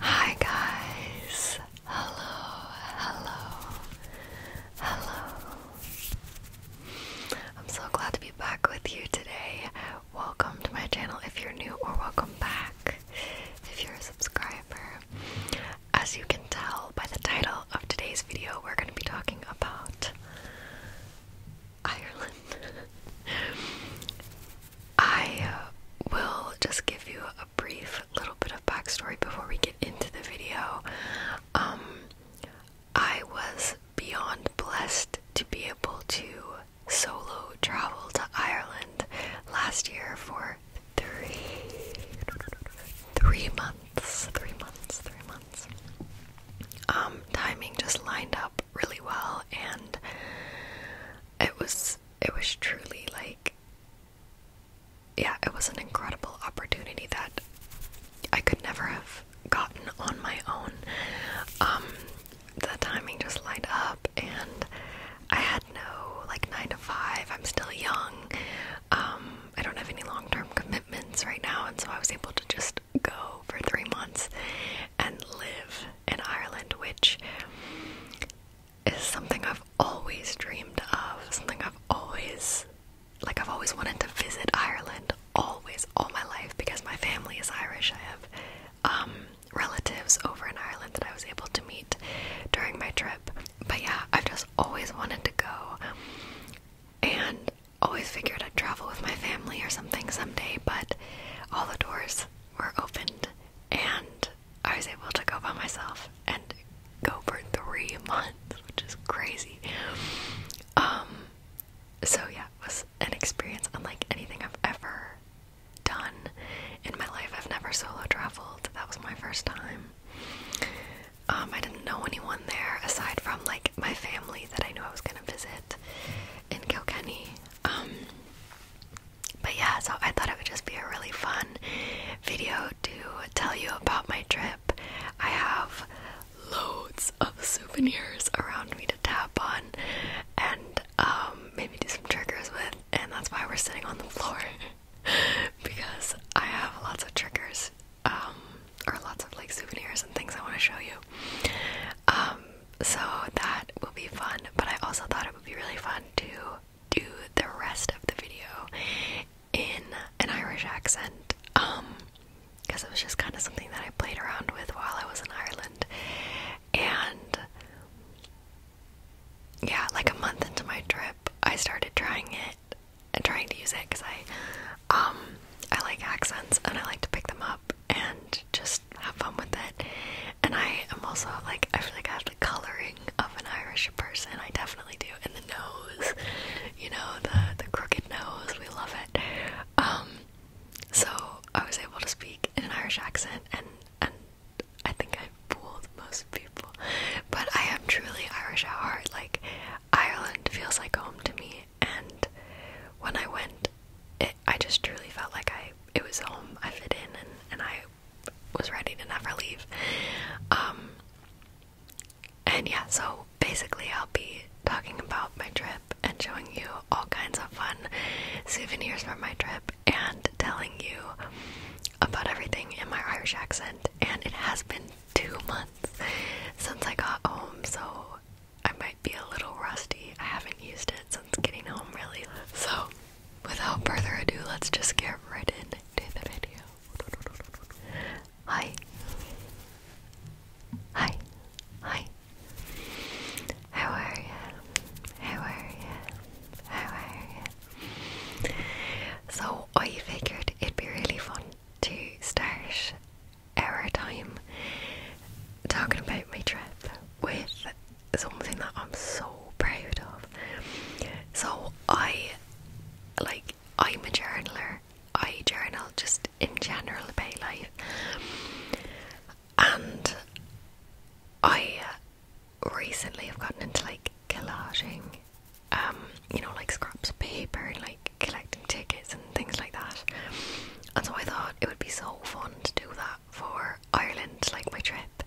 Hi guys. Hello. Hello. Hello. I'm so glad to be back with you today. Welcome to my channel if you're new or welcome back if you're a subscriber. As you can tell by the title of today's video, we're going to be talking about Ireland. I will just give you a brief little bit of backstory before we get into the video. Um, I was beyond blessed to be able to solo travel to Ireland last year for three, three months, three months, three months. Um, timing just lined up really well, and it was it was truly like, yeah, it was an incredible opportunity that I could never have gotten on my own. Um, the timing just lined up, and I had no like nine to five. I'm still young. Um, I don't have any long term commitments right now, and so I was able to just go for three months and live in Ireland, which is something I've always dreamed of, something I've always like I've always wanted to visit Ireland always all my life because my family is Irish. I have um relatives over in Ireland that I was able to meet during my trip. But yeah, I've just always wanted to go and always figured I'd travel with my family or something someday, but all the doors were opened and I was able to go by myself and go for three months, which is crazy. Um, so yeah, it was an experience unlike anything I've ever done in my life. I've never solo traveled. That was my first time. Um, I didn't know anyone there aside from like my family that I knew I was gonna visit in Kilkenny. Um, but yeah, so I thought it would just be a really fun video to tell you about my trip. I have loads of souvenirs around me to tap on and um, maybe do some triggers with, and that's why we're sitting on the floor because I have lots of triggers um, or lots of like souvenirs and things I want to show you. Um, so that will be fun, but I also thought it would be really fun to do the rest of the video in an Irish accent um because it was just kind of something that I played around with while I was in Ireland and yeah like a month into my trip I started trying it and trying to use it because I um I like accents and I like to pick them up and just have fun with it and I am also like I feel like I have to coloring of an Irish person. I definitely do. And the nose, you know, the the crooked nose, we love it. Um, so I was able to speak in an Irish accent, and and I think I fooled most people. But I am truly Irish at heart. Like Ireland feels like home to me, and when I went, it, I just truly felt like I it was home. I fit in, and and I was ready to never leave. Um, and yeah, so basically, I'll be talking about my trip and showing you all kinds of fun souvenirs from my trip and telling you about everything in my Irish accent. And it has been two months since I got home, so I might be a little rusty. I haven't used it since getting home, really. So, without further ado, let's just get right into the video. Hi. Hi. Hi. How are you? How are you? How are you? So, I figured it'd be really fun to start our time talking about my trip with it's something that I'm so proud of. So I like I'm a journaler. I journal just in general about life. And I recently have gotten into like collaging. Um, you know, like scraps of paper and like collecting tickets and things like that. And so I thought it would be so fun to do that for Ireland, like my trip.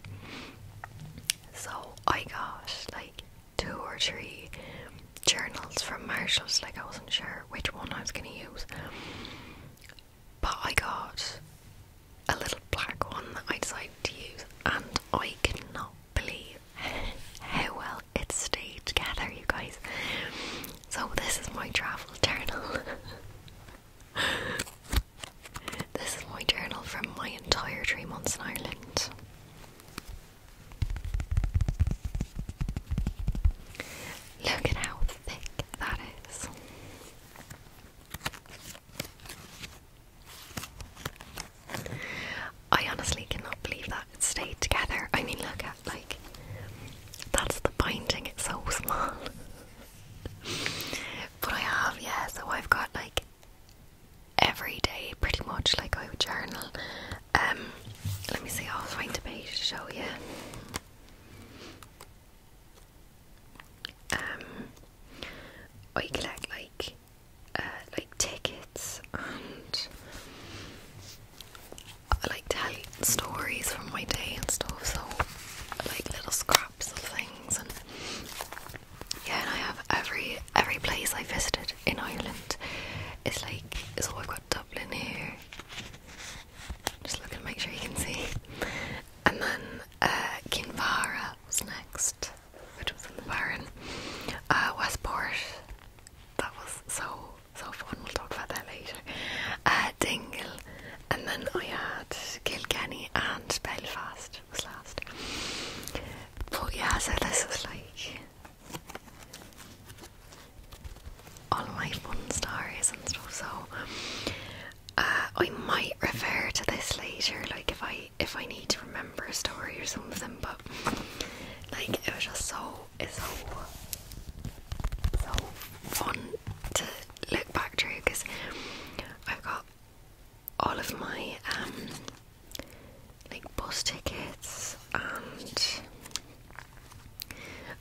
So I got like two or three journals from Marshalls, like I wasn't sure which one I was going to use. But I got a little black one that I decided to use, and I cannot believe how well it stayed together, you guys. So, this is my travel journal. This is my journal from my entire three months in Ireland. Look at how thick that is. I honestly cannot believe that it stayed together. I mean, look at like that's the binding, it's so small. but I have, yeah, so I've got like every day, pretty much. Like I would journal. Um, let me see. I'll find a page to show you. Um, I collect like, uh, like tickets and like tell stories from my day and stuff. So, like little scraps things and yeah and I have every every place I visited in Ireland it's like so I've got Dublin here just looking to make sure you can see and then uh, Kinvara was next which was in the Barren uh, Westport that was so so fun we'll talk about that later uh, Dingle and then I had Kilkenny and Belfast last, was last. But yeah, so this was like all my fun stories and stuff. So uh, I might refer to this later, like if I if I need to remember a story or something. But like it was just so it's so so fun to look back through because I've got all of my um, like bus tickets and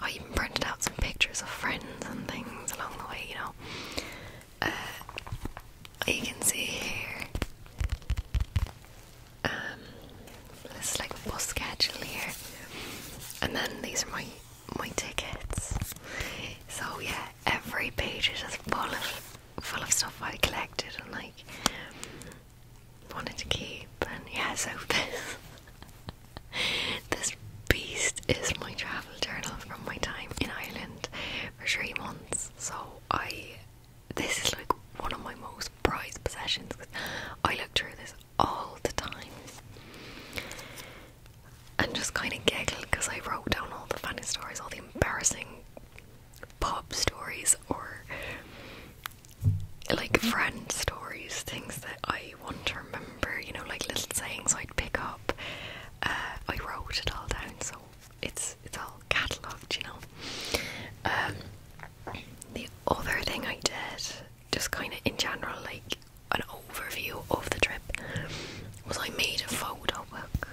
I even printed out some pictures of friends and things along the way, you know. Uh, you can see here um this like a bus schedule here. And then these are my my tickets. So yeah, every page is just full of full of stuff I collected and like wanted to keep. And yeah, so this this beast is my travel journal from my time in Ireland for three months. So I this is like one of my most prized possessions. because I look through this all the time and just kind of giggle because I wrote down all the funny stories, all the embarrassing pop stories or like friend stories, things that I want to remember, you know, like little sayings I'd pick up. Uh, I wrote it all down, so it's it's all catalogued, you know. Um, the other thing I did, just kind of in general, like an overview of the trip, was I made a photo book.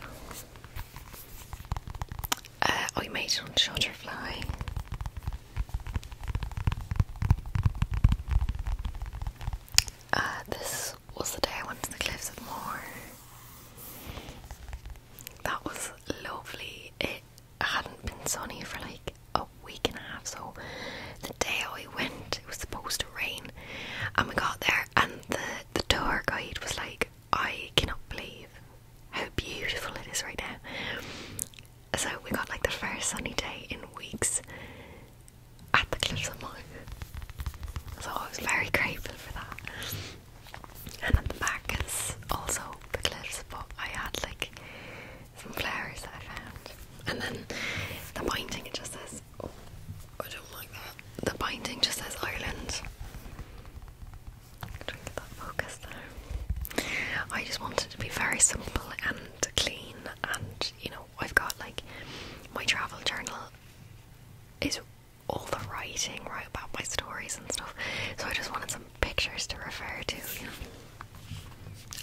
I made it on Shutterfly. Uh, this was the day I went to the Cliffs of Moher. That was lovely. It hadn't been sunny for like a week and a half, so the day I went, it was supposed to rain, and we got there, and the the tour guide was like, I cannot believe how beautiful it is right now. So we got like the first sunny day in weeks at the Cliffs of Moher. So I was very grateful for that. And at the back is also the cliffs, but I had like some flowers that I found. And then the painting it just says, Oh, I don't like that the binding just says Ireland. Try to get that focus there. I just wanted it to be very simple and clean, and you know, I've got like my travel journal is all the writing right about my stories and stuff. So I just wanted some pictures to refer to. You know?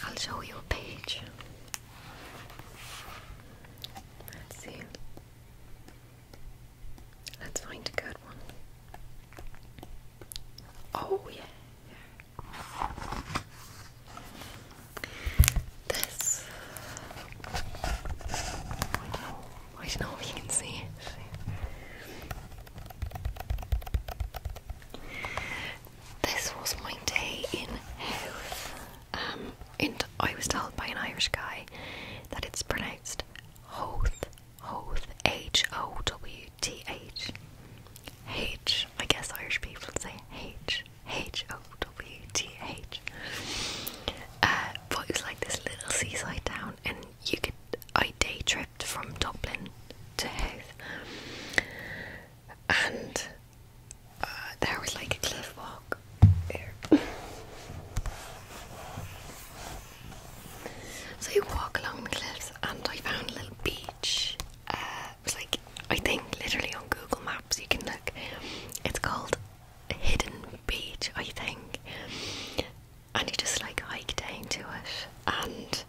I'll show you a page. see. Let's find a good one. Oh, yeah. This. I don't know. if you can see This was my day in health. Um, and I was told by an Irish guy that it's pronounced Hoth, Hoth, H O W T H. H, I guess Irish people say H, H O W T H. Uh, but it was like this little seaside town, and you could, I day tripped from Dublin to Hoth. And uh, there was like a cliff walk so you walk along the cliffs, and I found a little beach. Uh, it was like I think literally on Google Maps you can look. It's called Hidden Beach, I think. And you just like hike down to it, and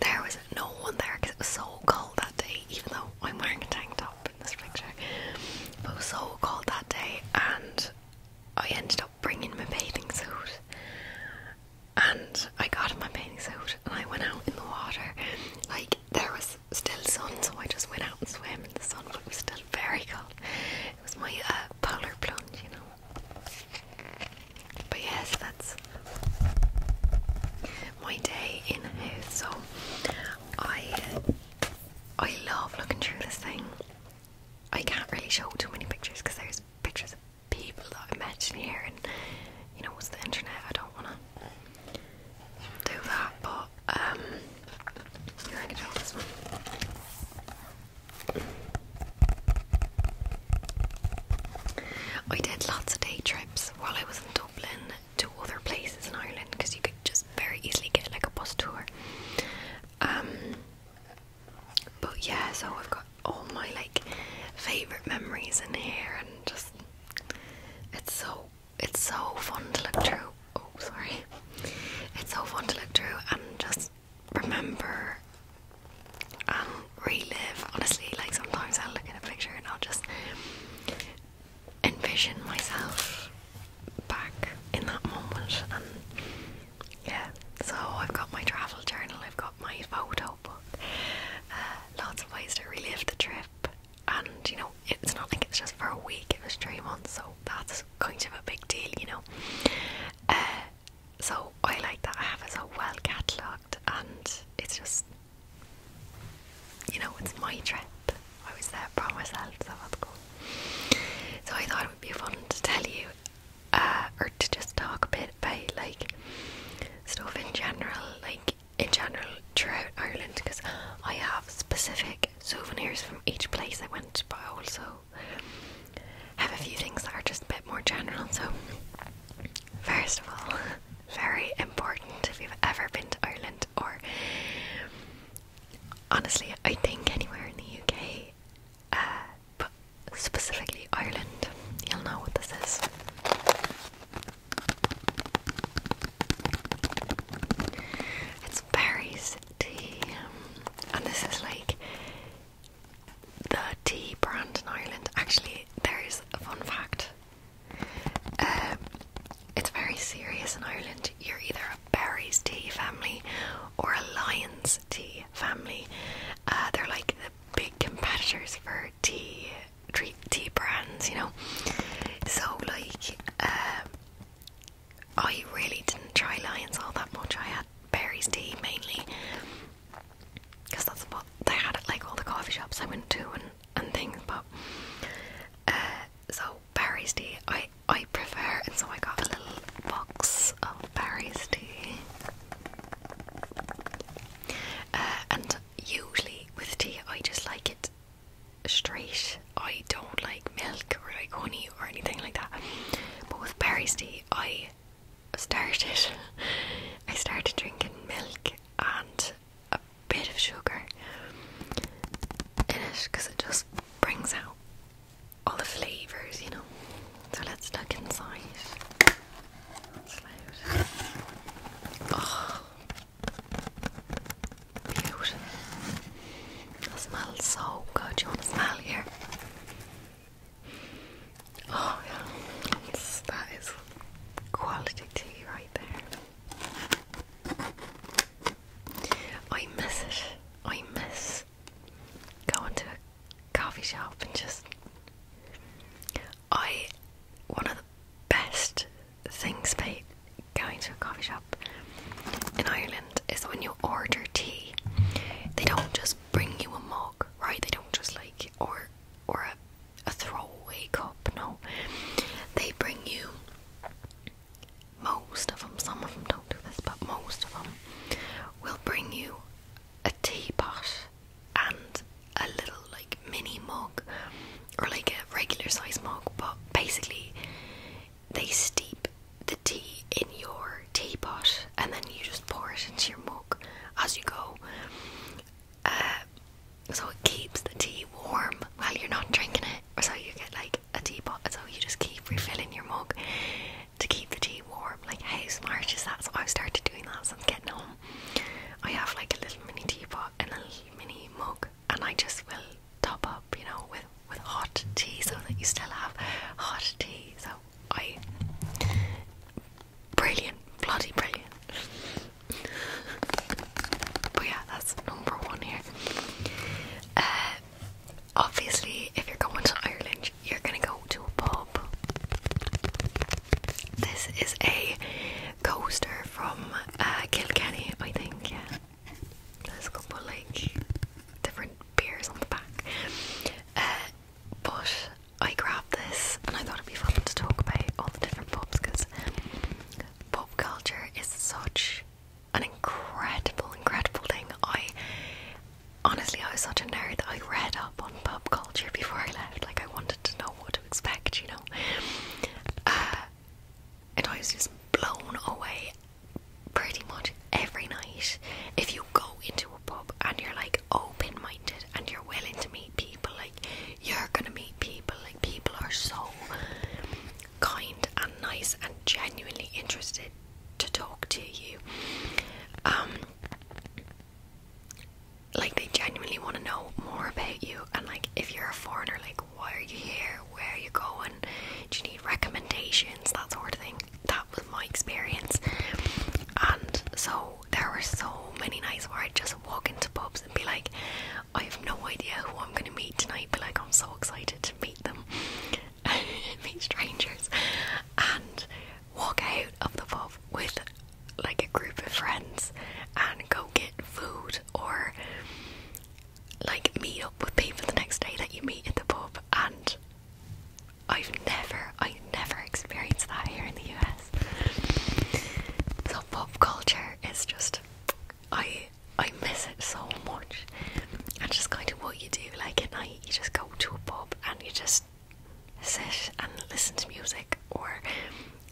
there was no one there because it was so cold that day. Even though I'm wearing a tank top in this picture, but it was so cold that day, and I ended up bringing my bathing suit and I got my bathing suit and I went out in the water. Like there was still sun, so I just went out and swam in the sun, but it was still very cold. It was my uh, polar plunge, you know. But yes, that's my day in a house. So I I love looking through this thing. I can't really show too many pictures because there's pictures of people that I mentioned here, and you know, it's the internet. I don't want to do that, but um, I I did lots of day trips while I was in Dublin to other places in Ireland because you could just very easily get like a bus tour. Um, but yeah, so I've got all my like favourite memories in here and just it's so it's so fun to look through. Oh sorry. It's so fun to look through and just remember and relive. Honestly, like sometimes I'll look at a picture and I'll just envision myself back in that moment and yeah, so I've got my travel journal, I've got my photo book, uh, lots of ways to relive the trip. And you know, it's not like it's just for a week, it was three months, so that's kind of a big deal, you know. Uh, so I like that I have it so well catalogued, and it's just, you know, it's my trip. I was there by myself, so that's cool. So I thought it would be fun to tell you, uh, or to just talk a bit about like stuff in general, like in general throughout Ireland, because I have specific souvenirs from each place I went, but also have a few things that are just a bit more general. So, first of all, very important if you've ever been to Ireland or honestly, I think anywhere in the UK, uh, but specifically Ireland. You'll know what this is. It's berries tea, um, and this is like the tea brand in Ireland. Actually, there's a fun fact. Um, it's very serious in Ireland. You're either a berries tea family or a lions Tea family. Uh, they're like the big competitors for tea, treat tea brands, you know. So like, uh, I really didn't try Lions all that much. I had Berry's tea mainly, because that's what they had at like all the coffee shops I went to and and things. But uh, so Berry's tea, I I prefer, and so I got a little box of berries tea. Uh, and usually with tea, I just like it straight. I don't like milk or like honey or anything like that. But with berries tea, I started. I started drinking milk and a bit of sugar in it because it just brings out all the flavours, you know. So let's look inside. Oh, beautiful. smells so good. You want to smell here? Oh yeah, that is quality tea right there. I miss it. I miss just go into a coffee shop and just. I. One of the best things about going to a coffee shop in Ireland is that when you order tea, they don't just bring you a mug, right? They don't just like. or or a a throwaway cup, no. They bring you most of them, some of them don't do this, but most of them we will bring you a teapot and a little like mini mug or like a regular size mug, but basically they steep the tea in your teapot and then you just pour it into your mug as you go. Uh, so it keeps the tea warm while you're not drinking it. So you get like a teapot, so you just keep refilling your mug to keep the tea warm. Like, how smart is that? So I've started doing that since getting home. I have like a little mini teapot and a mini mug, and I just will top up, you know, with with hot tea so that you still have hot tea. So I brilliant, bloody brilliant. but yeah, that's number one here. Uh, obviously, if you're going to Ireland, you're gonna go to a pub. This is a coaster from uh, Kilkenny, I think. there's a couple like different beers on the back. Uh, but I grabbed this, and I thought it'd be fun to talk about all the different pubs because pub culture is such an incredible, incredible thing. I honestly, I was such a nerd that I read up on pub culture before I left. Like, I wanted to know what to expect, you know. Uh, and I was just blown away pretty much every night. If you go into a pub and you're like open minded and you're willing to meet people, like, you're gonna meet people. Like, people are so kind and nice and genuinely interested to talk to you. Um, like they genuinely want to know more about you and like if you're a foreigner, like why are you here? Where are you going? Do you need recommendations? That sort of thing. That was my experience. And so there were so many nights where I'd just walk into pubs and be like, I have no idea who I'm gonna meet tonight, but like I'm so excited to meet them. meet strangers and walk out of the pub with like a group of friends and go get food or like meet up with people the next day that you meet at the pub and I've never I never experienced that here in the US. So pub culture is just I I miss it so much. And just kind of what you do like at night you just go to a pub and you just sit and listen to music or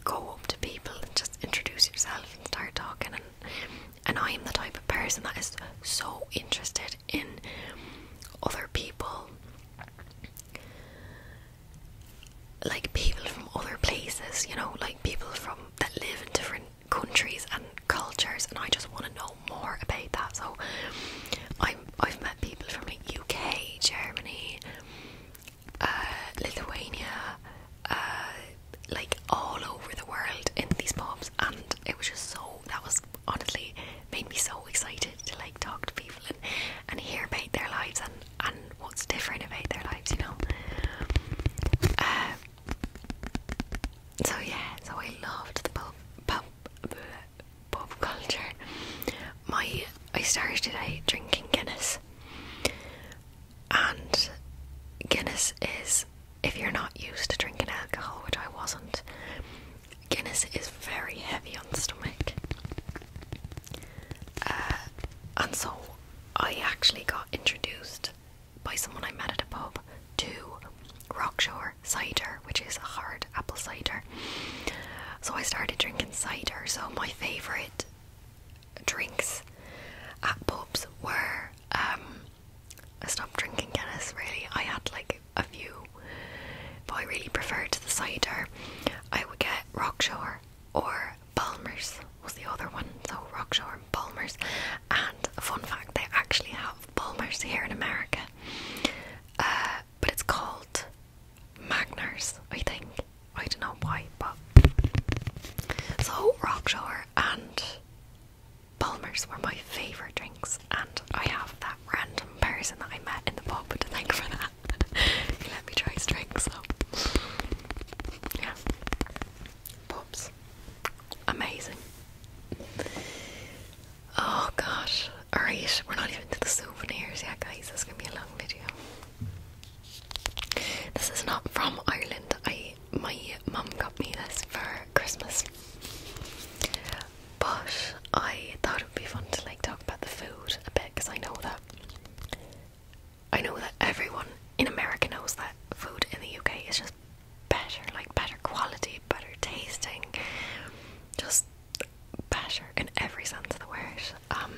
go up to people and just introduce yourself and start talking and I'm the type of person that is so interested in other people like people from other places, you know, like people from that live in different countries and cultures and I just want to know more about that. So I'm I've met people from the UK, Germany, uh, Lithuania, uh, like all over the world in these pubs, and it was just so that was honestly made me so excited to like talk to people and and hear about their lives and and what's different about their lives, you know. Uh, so yeah, so I loved the pub, pub, pop culture. My I started out drinking Guinness, and Guinness is if you're not used to drinking alcohol, which I wasn't. Guinness is very heavy on the stomach, uh, and so I actually got introduced by someone I met at a pub to rock shore cider, which is a hard apple cider. So I started drinking cider. So my favorite drinks at pubs were I um, stopped drinking Guinness. Really, I had like a few, but I really preferred the cider. I would get Rockshore or Balmer's was the other one. So Rockshore and Balmer's. And fun fact, they actually have Balmer's here in America. Uh, but it's called Magners, I think. I don't know why, but so Rockshore and Palmer's were my favourite drinks, and I have that random person that I met in the pub to thank for that. let me try his drink, so yeah. Pubs, amazing. Oh gosh. Alright, we're not even to the souvenirs Yeah, guys. This is gonna be a long video. This is not from Ireland. I my mum got me this for Christmas. But I thought it would be fun to like talk about the food a bit because I know that I know that everyone in America knows that food in the UK is just better, like better quality, better tasting. Just better in every sense of the word. Um,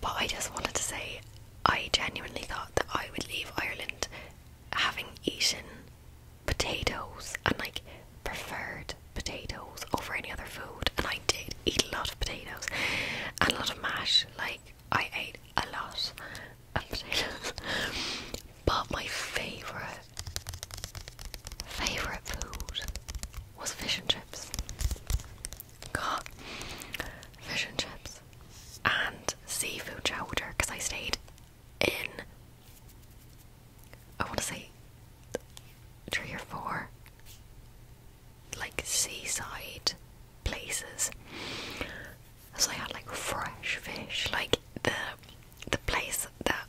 but I just wanted to say I genuinely thought that I would leave Ireland having eaten potatoes and like preferred potatoes over any other food, and I did eat a lot of potatoes and a lot of mash. Like I ate a lot of potatoes, but my favorite favourite food was fish and chips. God, fish and chips and seafood chowder because I stayed in, I want to say, three or four like seaside places. So I had like fresh fish, like the the place that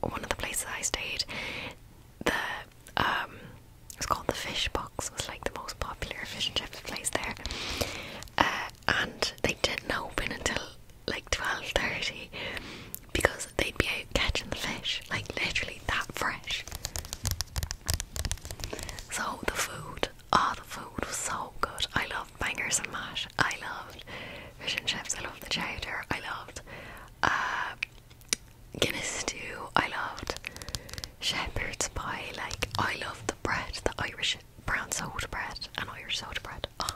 one of the places I stayed, the um, it's called the Fish Box was like the most popular fish and chips place there, uh, and they didn't open until like twelve thirty because they'd be out catching the fish, like literally that fresh. So the food, oh the food was so good. I loved bangers and mash. I loved fish and chips. I love the chowder. I loved uh, Guinness stew. I loved shepherd's pie. Like I love the bread, the Irish brown soda bread and Irish soda bread. Oh.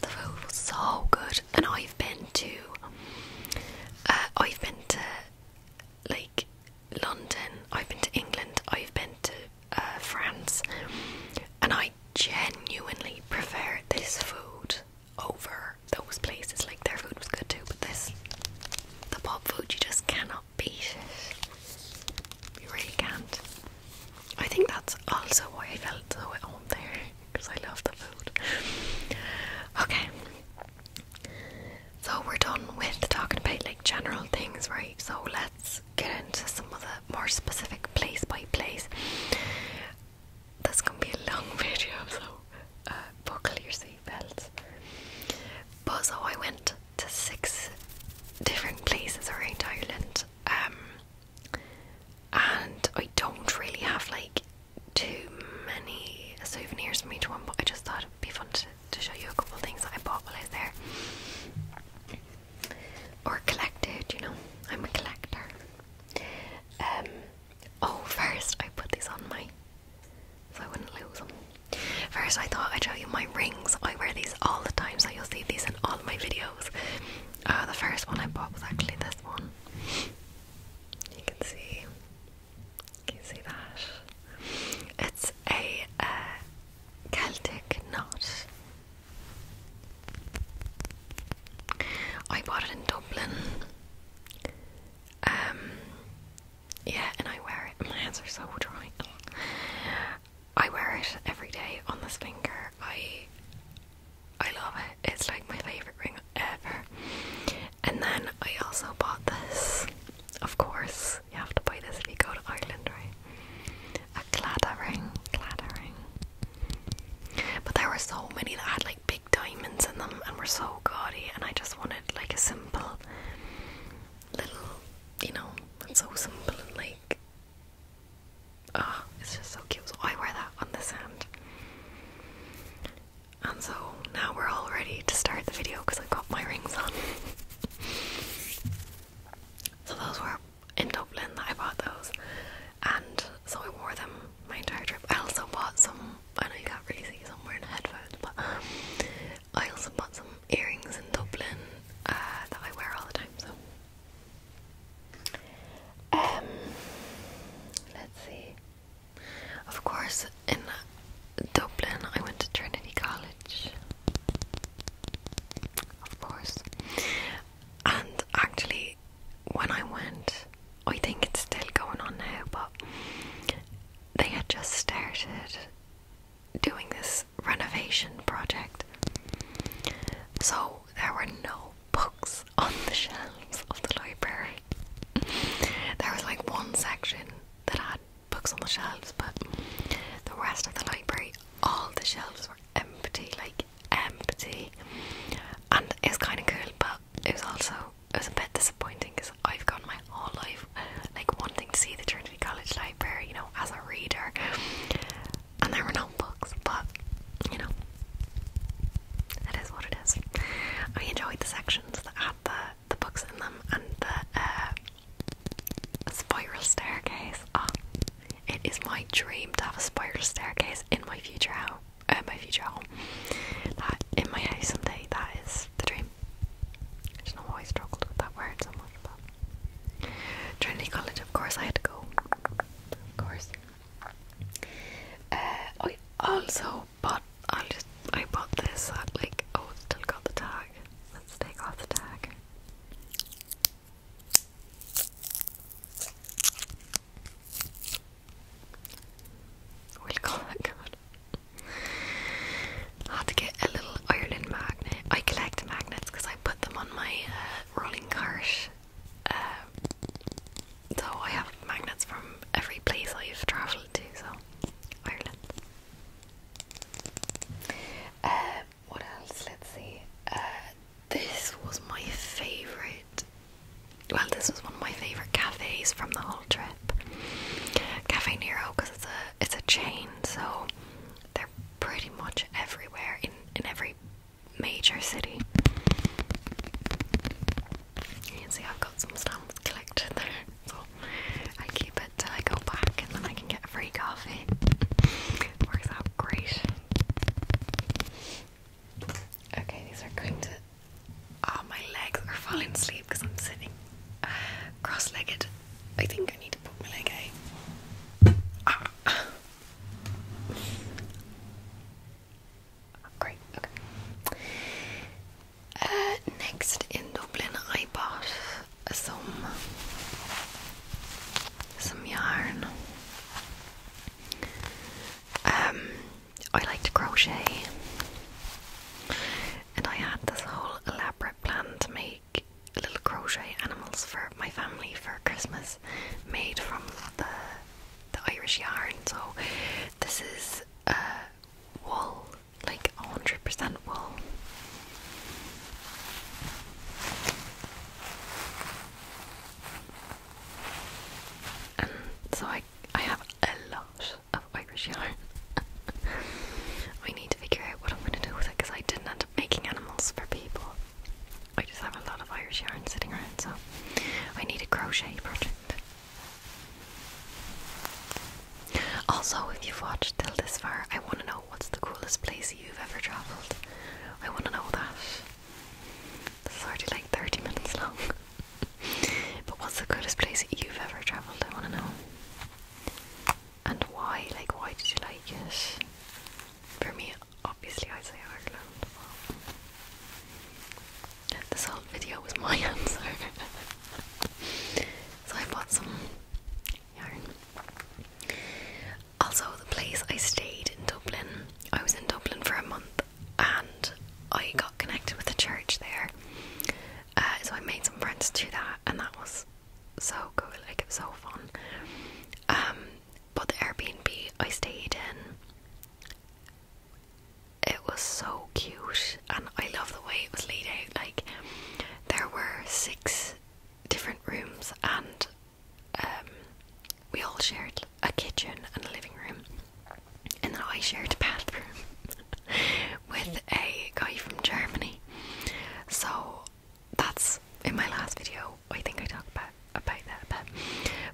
The food was so good, and I've been to. Uh, I've been to like London. I've been to England. I've been to uh, France, and I genuinely prefer this food over those places. Like their food was good too, but this the pop food you just cannot beat it. You really can't. I think that's also why I felt so at home there, because I love the food. Okay. So we're done with talking about like general things, right? So let's let's get into some of the more specific place by place. This is gonna be a long video, so uh, buckle your seatbelts. But so I went to six different places around Ireland, um, and I don't really have like too many souvenirs from each one, but I just thought it'd be fun to, show you a couple of things that I bought while I was there or collected, you know. I'm a collector. Um, oh, first I put these on my so I wouldn't lose them. First, I thought I'd show you my rings. I wear these all the time, so you'll see these in all my videos. Uh, the first one I bought was actually this one. You can see, can you see that? It's a uh, Celtic knot I bought it in Dublin. Um, yeah, and I wear it. My hands are so dry. I wear it every day on this finger. I I love it. It's like my favorite ring ever. And then I also bought this. Of course, you have to buy this if you go to Ireland, right? A clattering, clattering. But there were so many that had like big diamonds in them and were so gaudy, and I just wanted like a simple little, you know, it's so simple and like, ah, it's just so cute. So I wear that on this hand. And so now we're all ready to start the video because I've got my rings on. so those were in Dublin that I bought those, and so I wore them my entire trip. I also bought some. I know you got crazy somewhere in headphones, but um, I also bought some earrings in Dublin uh, that I wear all the time. So, um, let's see. Of course, in Dublin, I went to Trinity College. Of course, and actually, when I went, I think it's still going on now, but they had just started doing this renovation project. So there were no books on the shelves of the library. There was like one section that had books on the shelves, but the rest of the library, all the shelves were empty. Like empty and it was kind of cool but it was also it was a bit disappointing because I've gone my whole life like wanting to see the Trinity College Library you know as a reader and there were no books but you know it is what it is I enjoyed the sections that had the, the books in them and the uh, spiral staircase oh it is my dream to have a spiral staircase in my future house. Uh, my future home. That in my house someday. That is the dream. I don't know why I struggled with that word so much, Trinity College. Of course, I had to go. Of course. Uh, I also bought. I just I bought this at like oh, still got the tag. Let's take off the tag. We'll call I had to get a little Ireland magnet. I collect magnets because I put them on my uh, rolling cart. Um, so I have magnets from every place I've travelled to, so Ireland. Uh, what else? Let's see. Uh, this was my favourite. Well, this was one of my favourite cafes from the whole trip. Cafe Nero, because it's a it's a chain, so they're pretty much everywhere in in every major city. You can see I've got some stamps collected there, so I keep it till I go back, and then I can get a free coffee. Works out great. Okay, these are going to. Oh, my legs are falling asleep because I'm sitting cross legged. I think I need to put my leg out. Ah. Great, okay. Uh, next in Dublin, I bought some some yarn. Um, I like to crochet, and I had this whole elaborate plan to make little crochet animals for my family for Christmas, made from the the Irish yarn. So this is uh, wool, like hundred percent wool. so I, I have a lot of Irish yarn. I need to figure out what I'm going to do with it because I didn't end up making animals for people. I just have a lot of Irish yarn sitting around, so I need a crochet project. Also, if you've watched till this far, I want to know what's the coolest place you've ever travelled. I want to know that. It's already like 30 minutes long. but what's the coolest place you've ever travelled? I want to know. And why? Like, why did you like it? For me, obviously, I'd say Ireland. This whole video was my answer. so I bought some yarn. Also, the place I stayed in Dublin, I was in Dublin for a month and I got connected with the church there. Uh, so I made some friends to that, and that was so cool. Like it was so fun. Um, but the Airbnb I stayed in. It was so cute, and I love the way it was laid out. Like, there were six different rooms, and um, we all shared a kitchen and a living room, and then I shared a bathroom with a guy from Germany. So that's in my last video. I think I talked about about that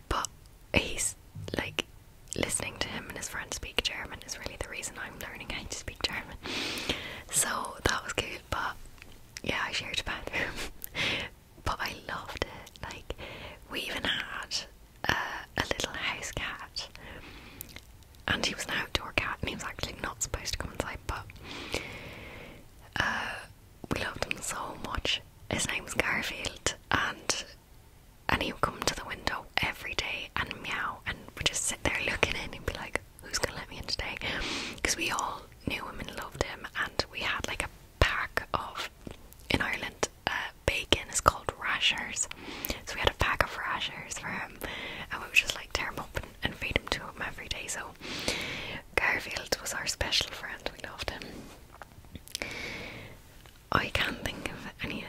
but he's like listening to him and his friends speak German is really the reason I'm learning how to speak German. So that was good, but yeah, I shared a bathroom but I loved it. Like, we even had uh, a little house cat, and he was an outdoor cat, and he was actually not supposed to come inside, but uh, we loved him so much. His name was Garfield, and and he would come to the window every day and meow, and we just sit there looking in and be like, "Who's gonna let me in today?" Because we all knew him and loved him, and we had like a pack of in Ireland uh, bacon is called rashers. So we had a pack of rashers for him, and we would just like tear him up and, feed him to him every day. So Garfield was our special friend. We loved him. I can't think of any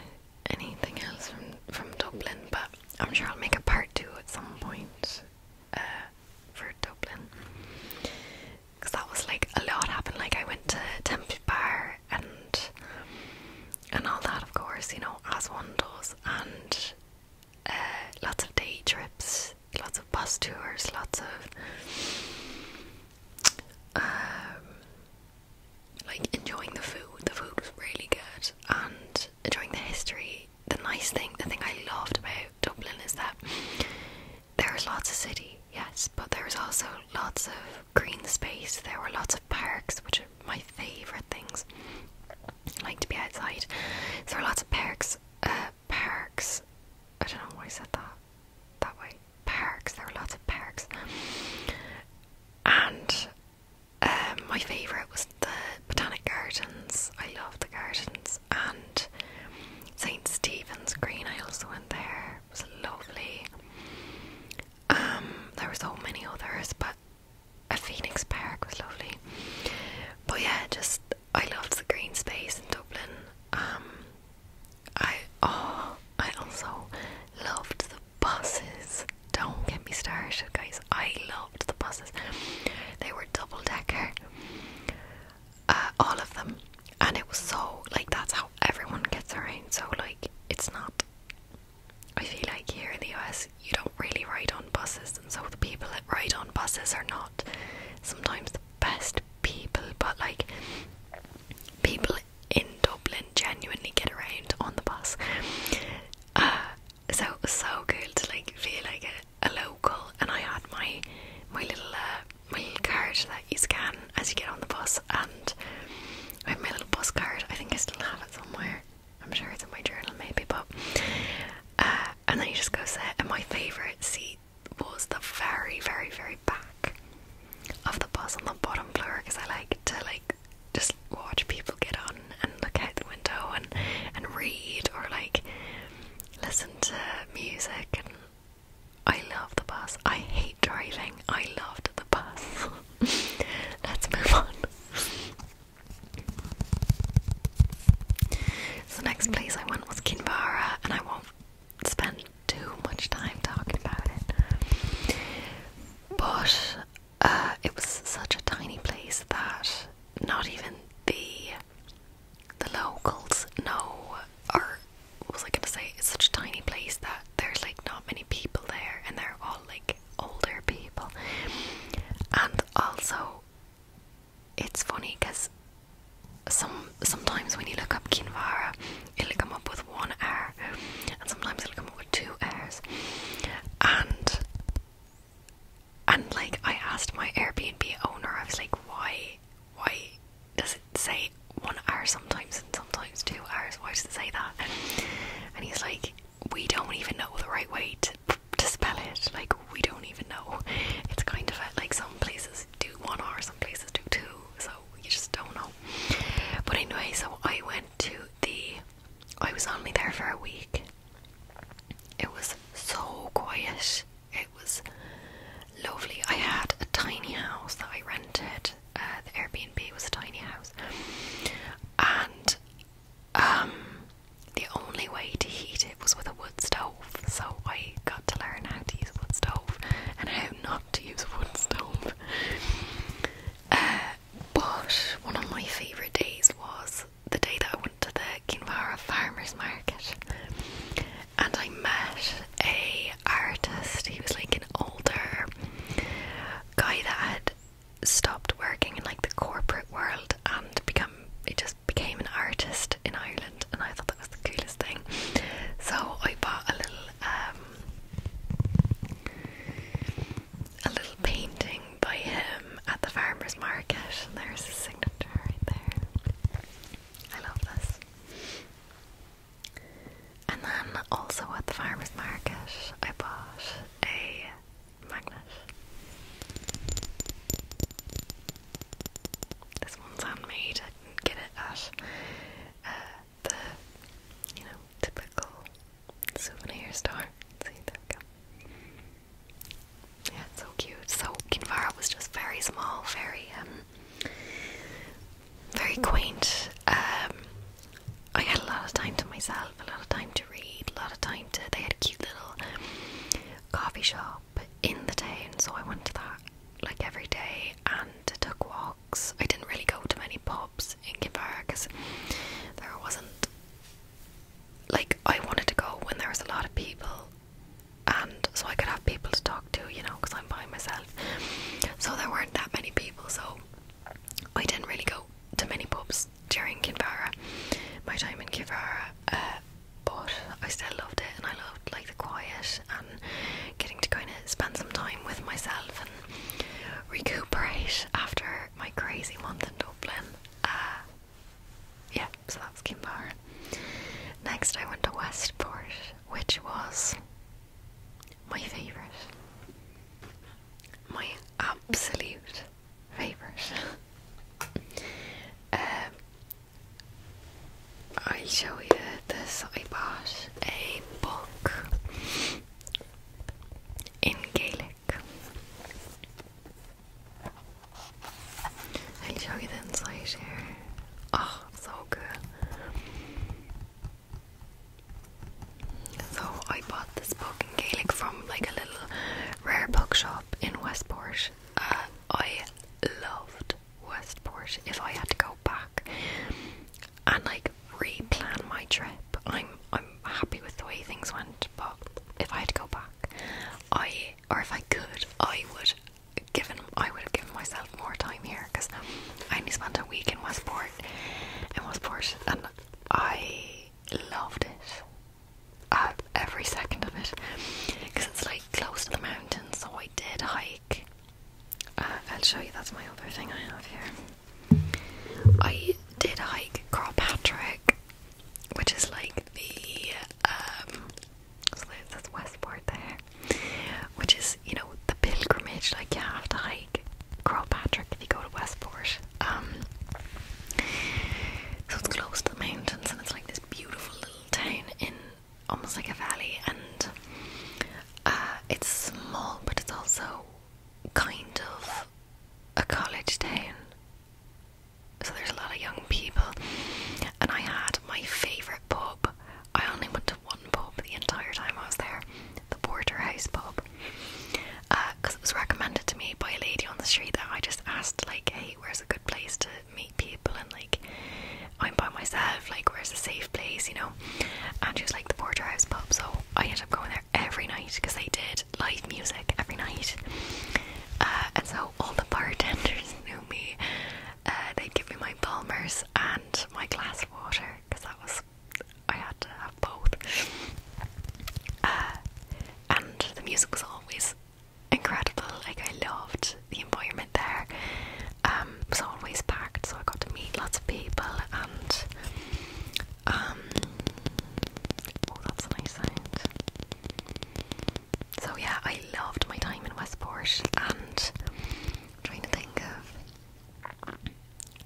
anything else from from Dublin, but I'm sure I'll make a part two at some point uh, for Dublin because that was like a lot happened. Like I went to Temple Bar and and all that, of course, you know, as one does, and uh, lots of day trips, lots of bus tours, lots of um, like enjoying the food. The food was really good, and enjoying the history. The nice thing, the thing I loved about Dublin is that there's lots of city, yes, but there's also lots of green space. There were lots of parks, which are my favourite things. I like to be outside. there were lots of parks. Uh, parks. I don't know why I said that that way. Parks. There were lots of parks. And um, my favourite was the Botanic Gardens. I love the gardens and St Stephen's Green. I also went there. It was lovely. Um, there were so many others, but a Phoenix Park was lovely. But yeah, just I loved the green space in Dublin. Um, I oh, I also loved the buses. Don't get me started, guys. I loved the buses. They were double decker. Uh, all of them, and it was so like that's how everyone gets around. So like it's not. I feel like here in the US you don't really ride on buses, and so the people that ride on buses are not sometimes the best people, but like people in Dublin genuinely get around on the bus. Uh, so it was so cool to like feel like a, local, and I had my my little uh, my card that you scan as you get on the bus, and I have my little bus card. I think I still have it somewhere. I'm sure it's in my journal, maybe. But uh, and then you just go sit. And my favorite seat was the very, very, very back of the bus on the bottom floor because I like to like just watch people get on and look out the window and and read or like listen to music and I love the bus. I hate driving. I loved the bus. Let's move on. So the next place I went was Kinvara, and I won't spend too much time talking about it. But uh, it was such a tiny place that not even the the locals know or what was I gonna say? It's such a tiny place that there's like not many people there, and they're all like older people. And also, it's funny because some sometimes when you look up Kinvara, it'll come up with one hour, and sometimes it'll come up with two hours, and and like I asked my Airbnb owner, I was like, why why does it say one hour sometimes and sometimes two hours? Why does it say that? And he's like, we don't even know the right way to, spell it. Like, we don't even know. It's kind of like some places do one hour, some places do two. So you just don't know. But anyway, so I went to the. I was only there for a week. It was so quiet. It was lovely. I had a tiny house that I rented uh, the Airbnb was a tiny house, and um, the only way to heat it was with a wood stove. So I got to learn how to use a wood stove and how not to use a wood stove. Uh, but one of my favourite days was the day that I went to the Kinvara Farmers Market, and I met a artist. He was like an older guy that had stopped working in like the corporate world and become it just became an artist in Ireland and I thought that was the coolest thing. So I bought a little um a little painting by him at the farmer's market and there's his signature right there. I love this. And then also at the farmer's market, I bought a magnet. This one's handmade, get it at uh, the, you know, typical souvenir store. See, there we go. Yeah, so cute. So Kinvara was just very small, very um very quaint. Um, I had a lot of time to myself, a lot of time to read, a lot of time to. They had a cute little coffee shop in the town, so I went to that like every day and took walks. I didn't really go to many pubs in Kinvara because there wasn't. Like, I wanted to go when there was a lot of people, and so I could have people to talk talk to, you know, because I'm by myself. So there weren't that many people, so I didn't really go to many pubs during Kinvara, my time in Kinvara. Uh, but I still loved it, and I loved like the quiet and getting to kind of spend some time with myself and recuperate after my crazy month in Dublin. Uh, yeah, so that was Kinvara. Next, I went to Westport, which was my favorite, my absolute favorite. Um, I show you this. I bought a book in Gaelic. I'll show you the inside here. Oh, so good. So I bought this book in Gaelic from like a little rare book shop in Westport. Uh, I loved Westport. If I had to go back and like re-plan my trip, I'm I'm happy with the way things went. But if I had to go back, I or if I could, I would given I would have given myself more time here because I only spent a week in Westport part and was portioned, and I loved it. Uh, every second of it, because it's like close to the mountains. So I did hike. Uh, I'll show you. That's my other thing I have here. I did hike Crawpatrick, which is like the um. So that's Westport there which is you know the pilgrimage. Like you have to hike Crowpatrick if you go to Westport. Um, so it's close to the mountains, and it's like this beautiful little town in almost like a valley, and uh, it's small, but it's also kind of a college town. So there's a lot of young people, and I had my favorite pub. I only went to one pub the entire time I was there, the Porterhouse pub, because uh, it was recommended to me by a lady on the street that I just asked like, hey, where's a good place to meet people and like, I'm by myself, like where's a safe place, you know? And she was like the Porterhouse pub, so I ended up going there every night because they did live music every night. Uh, and so all the bartenders knew me. Uh, they'd give me my Palmer's and my glass of water because that was I had to have both. Uh, and the music was always incredible. Like I loved the environment there. Um, it was always packed, so I got to meet lots of people and um, Oh, that's a nice sound. So yeah, I loved my time in Westport, and trying to think of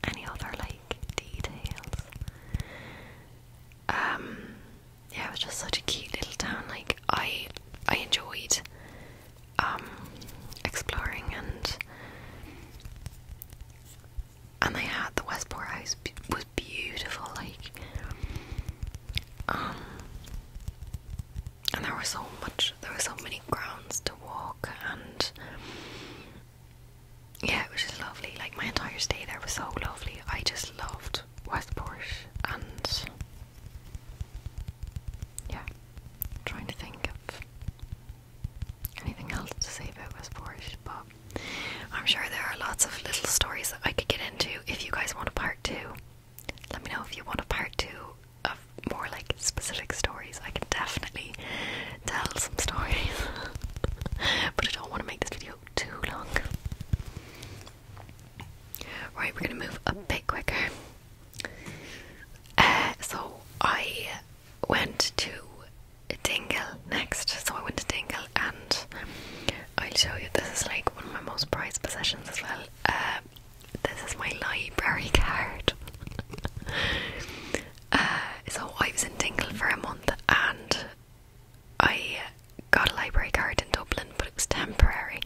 any other like details. Um, yeah, it was just such a cute little town. Like I I enjoyed um, exploring and and they had the Westport house was beautiful like um, and there was so much there were so many grounds to walk, and yeah, it was just lovely. Like my entire stay there was so lovely. I just loved Westport, and yeah, trying to think of anything else to say about Westport, but. I'm sure there are lots of little stories that I could get into. If you guys want a part two, let me know if you want a part two of more like specific stories, I can definitely tell some stories. but I don't want to make this video too long. Right, we're gonna move a bit quicker. Uh, so I went to Dingle next. So I went to Dingle and I'll show you. This is like one of my most prized possessions as well. Uh, this is my library card. Uh, so I was in Dingle for a month and I got a library card in Dublin, but it's temporary.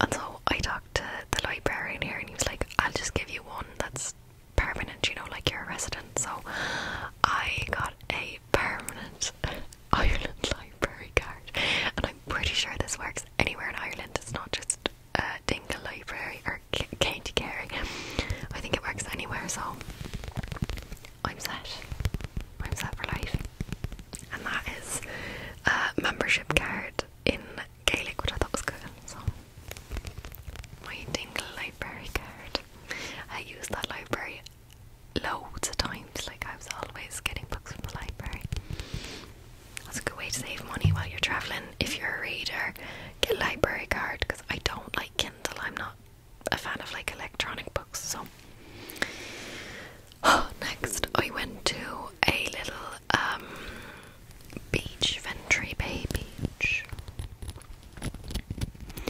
And so I talked to the librarian here, and he was like, I'll just give you one that's permanent, you know, like you're a resident. So I got a permanent Ireland library card, and I'm pretty sure this works anywhere in Ireland, it's not just uh, Dingle Library or C Katie Carey. I think it works anywhere, so I'm set. I'm set for life. And that is a membership card in Gaelic, which I thought was good. So, my Dingle Library card. I use that library loads of times. Like, I was always getting books from the library. That's a good way to save money while you're traveling if you're a reader get a library card because I don't like Kindle. I'm not a fan of like electronic books. So oh, next I went to a little um beach, Ventry Bay Beach,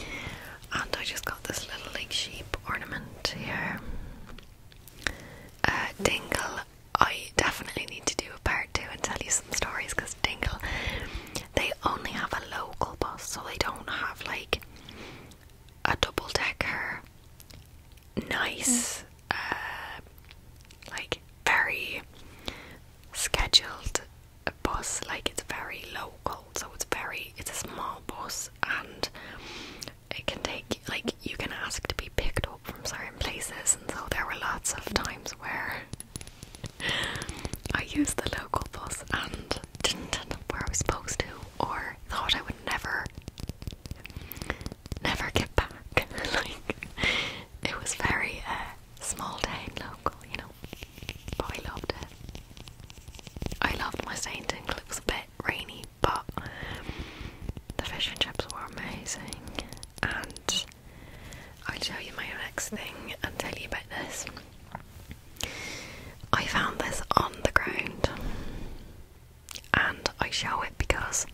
and I just got this little like sheep ornament here. Uh, Dingle, I definitely need to do a part two and tell you some stories because they only have a local bus, so they don't have like a double decker, nice, hmm. uh, like very scheduled bus. Like it's very local, so it's very it's a small bus and it can take like you can ask to be picked up from certain places and so there were lots of times where I used the local bus and didn't end up where I was supposed to, or thought I would never, never get back. like, it was very uh, small town local, you know. But I loved it. I loved my stay in Dingle. It was a bit rainy, but the fish and chips were amazing, and I'll show you my next thing and tell you about this. I found this on the ground and I show it because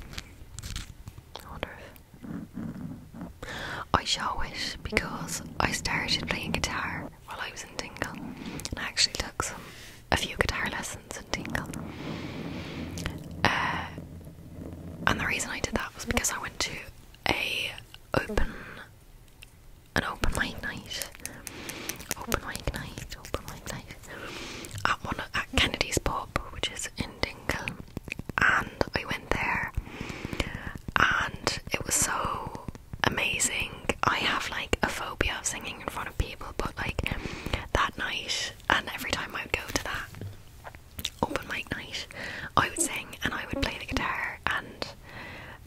I show it because I started playing guitar while I was in Dingle and I actually took some a few guitar lessons in Dingle. Uh, and the reason I did that was because I went to a open an open mic night. Open mic night, open mic night. At one at Kennedy's pub, which is in Dingle. And I went there and it was so amazing. I have like a phobia of singing in front of people, but like that night and every time I would go to that open mic night, I would sing and I would play the guitar. And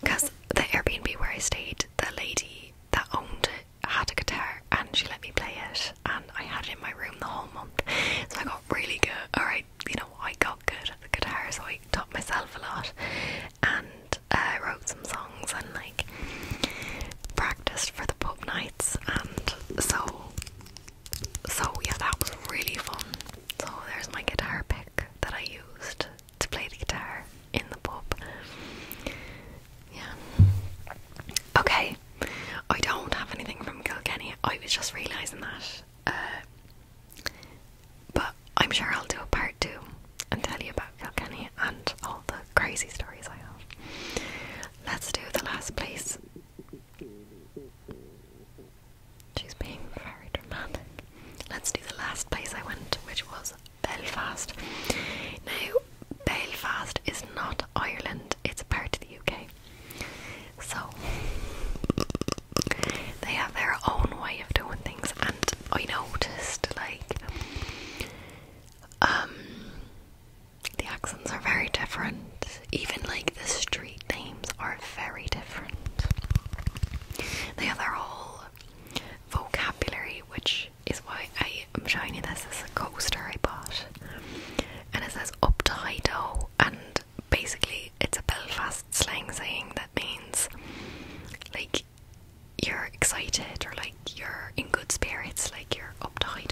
because the Airbnb where I stayed, the lady that owned it had a guitar and she let me play it, and I had it in my room the whole month. So I got really good, Alright, you know, I got good at the guitar, so I taught myself a lot and uh, wrote some songs and like practiced for the pub nights. And so so yeah, that was really fun. So there's my guitar pick that I used to play the guitar in the pub. Yeah. Okay. I don't have anything from Kilkenny. I was just realising that. Uh, but I'm sure I'll do a part two and tell you about Kilkenny and all the crazy stories I have. Let's do the last please. She's being very dramatic. Let's do the last place I went, which was Belfast. Now, Belfast is not Ireland, it's part of the UK. So, they have their own way of doing things, and I noticed like um, the accents are very different even like the street names are very different. They have their whole vocabulary, which is why I am showing you this. This is a coaster I bought, and it says up to high and basically it's a Belfast slang saying that means like you're excited or like you're in good spirits, like you're up to high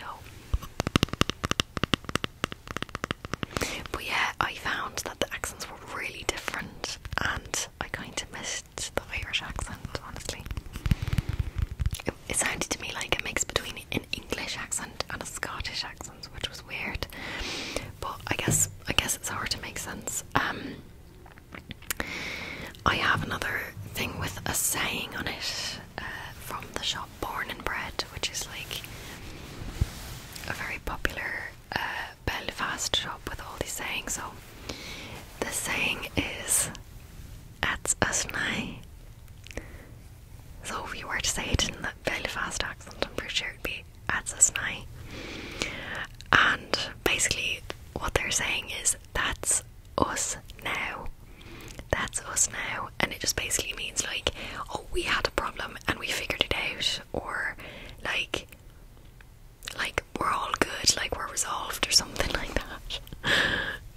but yeah, I found that the accents were really different, and I kind of missed the Irish accent, honestly. It, sounded to me like a mix between an English accent and a Scottish accent, which was weird. But I guess I guess it's hard to make sense. Um, I have another thing with a saying on it uh, from the shop Born and Bred, which is like a very popular uh, Belfast shop with all these sayings. So the saying is "That's us now." So if you were to say it in the Belfast accent, I'm pretty sure it'd be "That's us now." And basically, what they're saying is "That's us now." That's us now, and it just basically means like, oh, we had a problem, and we figured it out, or like, like we're all good, like we're resolved, or something like that.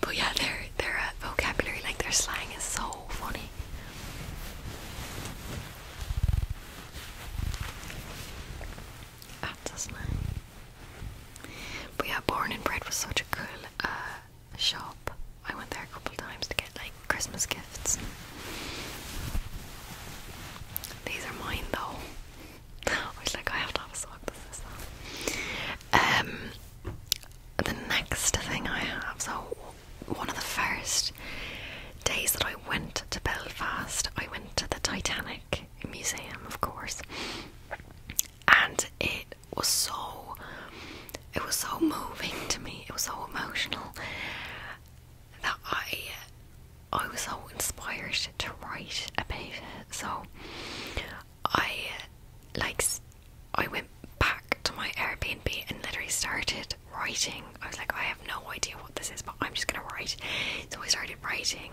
but yeah, their their uh, vocabulary, like their slang, is so funny. That's But yeah, Born and Bread was such a cool uh, shop. I went there a couple times to get like Christmas gifts. These are mine though. I was like, I have to have a sock that says the next thing I have, so one of the first days that I went to Belfast, I went to the Titanic Museum, of course, and it was so. It was so moving to me. It was so emotional that I I was so inspired to write about it. So I like I went back to my Airbnb and literally started writing. I was like, I have no idea what this is, but I'm just gonna write. So I started writing,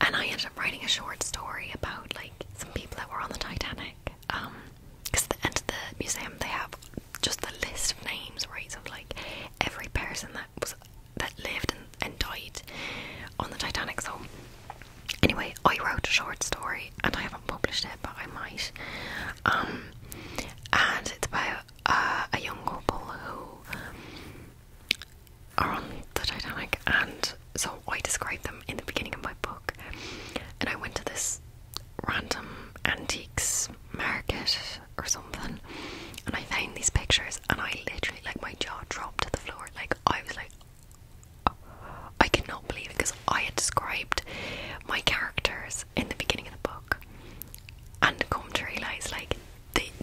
and I ended up writing a short story about like some people that were on the Titanic. Um, because at the end of the museum they have just the list of names, right, of like every person that was that lived and, died on the Titanic. So anyway, I wrote a short story and I haven't published it, but I might. Um, and it's about uh, a young couple who are on the Titanic, and so I described them in the beginning of my book. And I went to this random antiques market or something, and I found these pictures, and I literally like my jaw dropped to the floor. Like I was like, oh, I cannot believe it because I had described my characters in the beginning of the book, and come to realize like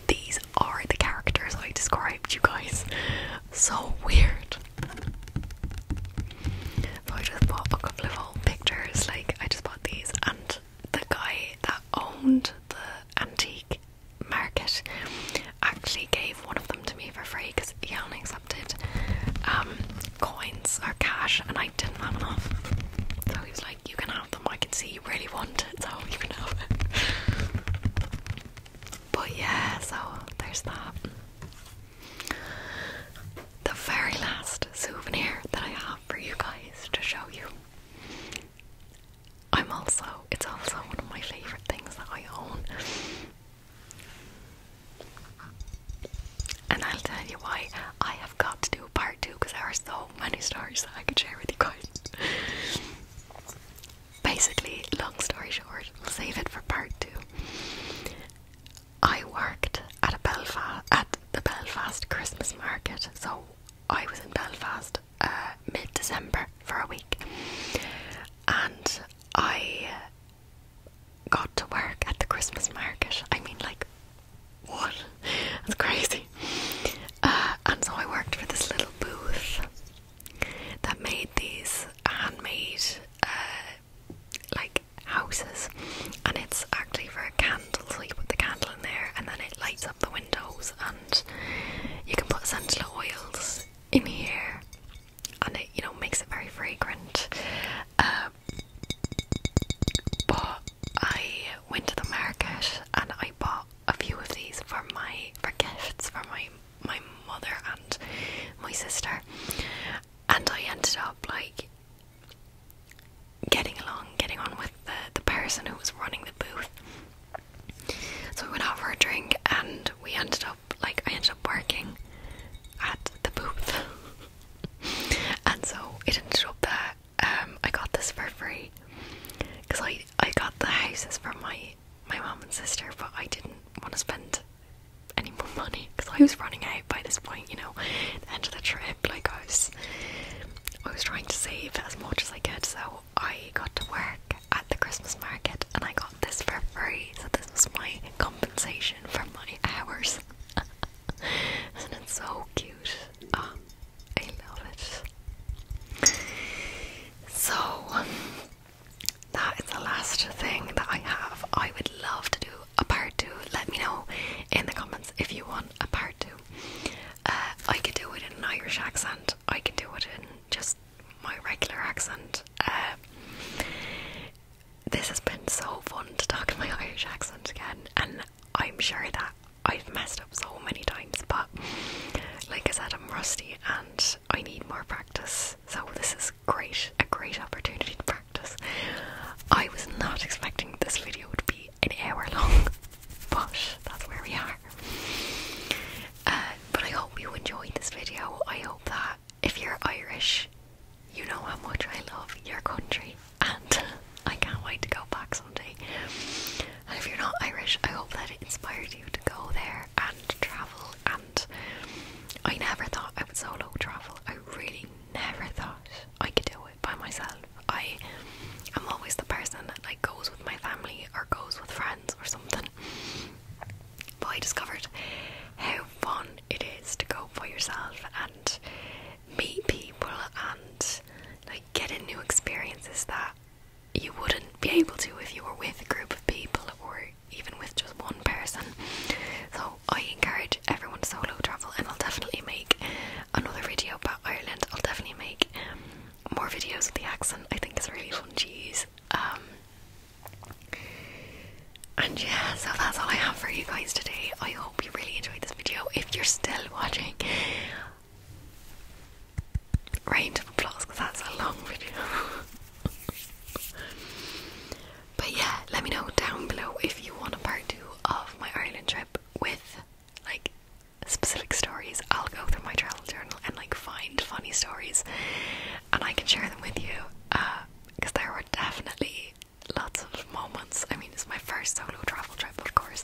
these are the characters I described. You guys, so weird. I just bought a couple of old pictures, like I just these, and the guy that owned the antique market actually gave one of them to me for free because he only accepted um, coins or cash, and I didn't have enough. So he was like, "You can have them. I can see you really want it, so you can have it." But yeah, so there's that. The very last souvenir that I have for you guys to show you. I'm also, it's also one of my favorite things that I own. And I'll tell you why I have got to do part two because there are so many stories that I could share with you guys. Basically, long story short, we'll save it for part two. I worked at a Belfast at the Belfast Christmas market, so I was in Belfast uh, mid December for a week, and I got to work at the Christmas market. I mean, like, what? That's crazy. Uh, and so I worked for this little booth that made these handmade, uh, like houses, and it's actually for a candle. So you put the candle in there, and then it lights up the windows, and you can put essential oils in here, and it you know makes it very fragrant. Uh, but I went to the market and I bought a few of these for my for gifts for my my mother and my sister, and I ended up like getting along, getting on with the, the person who was running the booth. So we went out for a drink and we ended up like I ended up working at the booth. and so it ended up that um I got this for free. Cause I I got the houses from my my mom and sister but I didn't want to spend any more money because I was running out by this point, you know, end of the trip, like I was I was trying to save as much as I could, so I got to work at the Christmas market and I got this for free. So this was my compensation for my hours. Isn't so cute? Ah, I love it. So that is the last thing that I have. I would love to do a part two. Let me know in the comments if you want a part two. Uh, I can do it in an Irish accent. I can do it in just my regular accent. Uh, this has been so fun to talk in my Irish accent again, and I'm sure that I've messed up so many times. But like I said, I'm rusty and I need more practice. So this is great, a great opportunity to practice. I was not expecting this video would be an hour long, but that's where we are. Uh, but I hope you enjoyed this video. I hope that if you're Irish, you know how much I love your country, and I can't wait to go back someday. And if you're not Irish, I hope that it inspired you to go there and travel. And I never thought I would solo travel. I really never thought I could do it by myself. I am always the person that like goes with my family or goes with friends or something. But I discovered how fun it is to go by yourself and meet people and like get in new experiences that you wouldn't be able to if you were with a group of people or even with just one person. So I encourage encourage everyone to solo travel, and I'll definitely make another video about Ireland. I'll definitely make more videos with the accent. I think it's really fun to um, and yeah, so that's all I have for you guys today. I hope you really enjoyed this video. If you're still watching, round of applause because that's a long video. but yeah, let me know down below if you want a part two of my Ireland trip with like specific stories, I'll go through my travel journal and like find funny stories, and I can share them with you. Because uh, there were definitely lots of moments. I mean, it's my first solo travel trip, of course,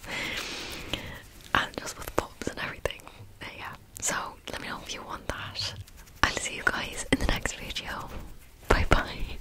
and just with pubs and everything. Uh, yeah. So let me know if you want that. I'll see you guys in the next video. Bye bye.